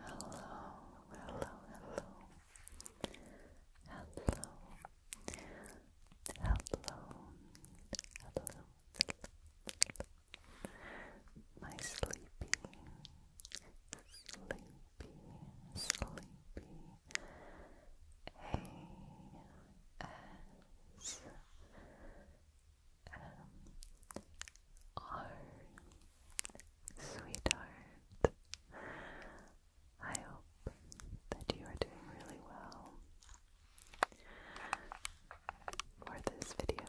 Hello, hello, hello, hello, hello, hello, my sleepy, sleepy, sleepy A-S-M-R Sweetheart, I hope that you are doing really well. For this video,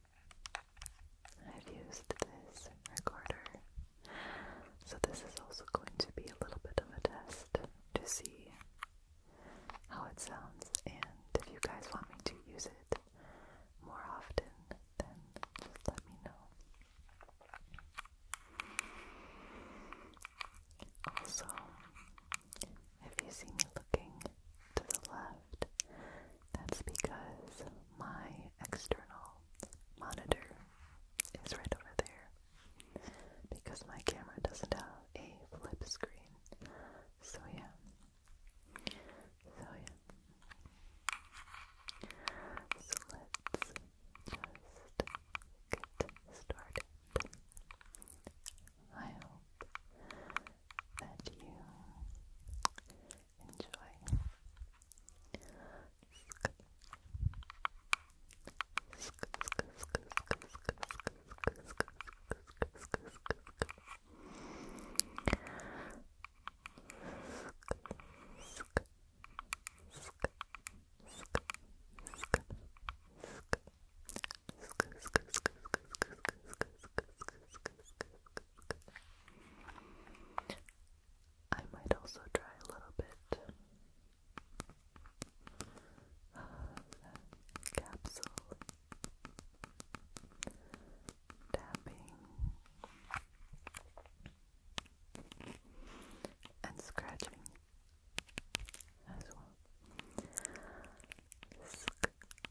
I've used this recorder. So, this is also going to be a little bit of a test to see how it sounds. And if you guys want me to use it more often, then just let me know. Also, if you see me looking to the left, that's because my external monitor is right over there because my camera doesn't have a flip screen. So, yeah. So, yeah. So, let's just get started. I hope that you enjoy. I might also try a little bit of capsule tapping and scratching as well.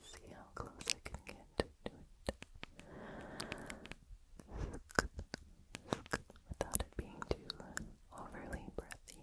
See how close I can get to it without it being too overly breathy.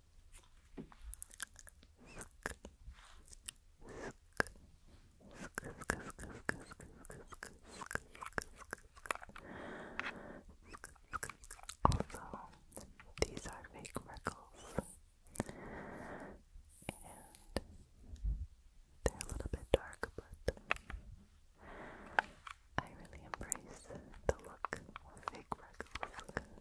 Also, these are fake freckles, and they're a little bit dark, but I really embrace the look of fake freckles.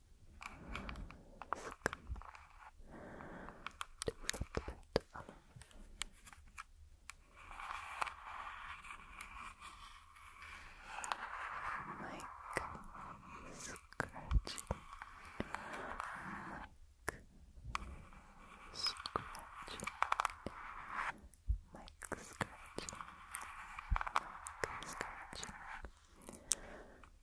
Mike scratching, Mike scratching, Mike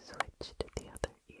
Switch to the other ear.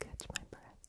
Catch my breath.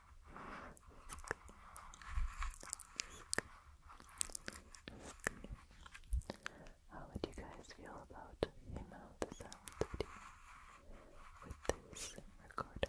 How would you guys feel about the amount of with this recording?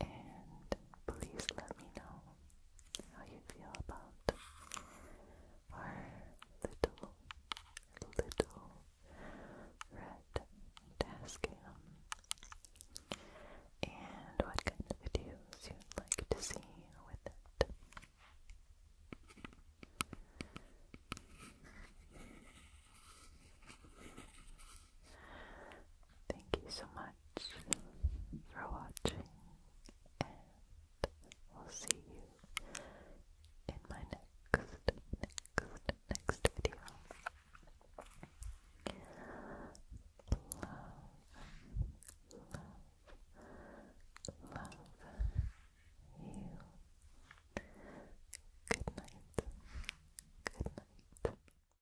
And please let me know how you feel about our little, little red Tascam and what kind of videos you'd like to see with it. Thank you so much for watching, and we'll see you in my next, next, next video. Love, love, love you. Good night. Good night.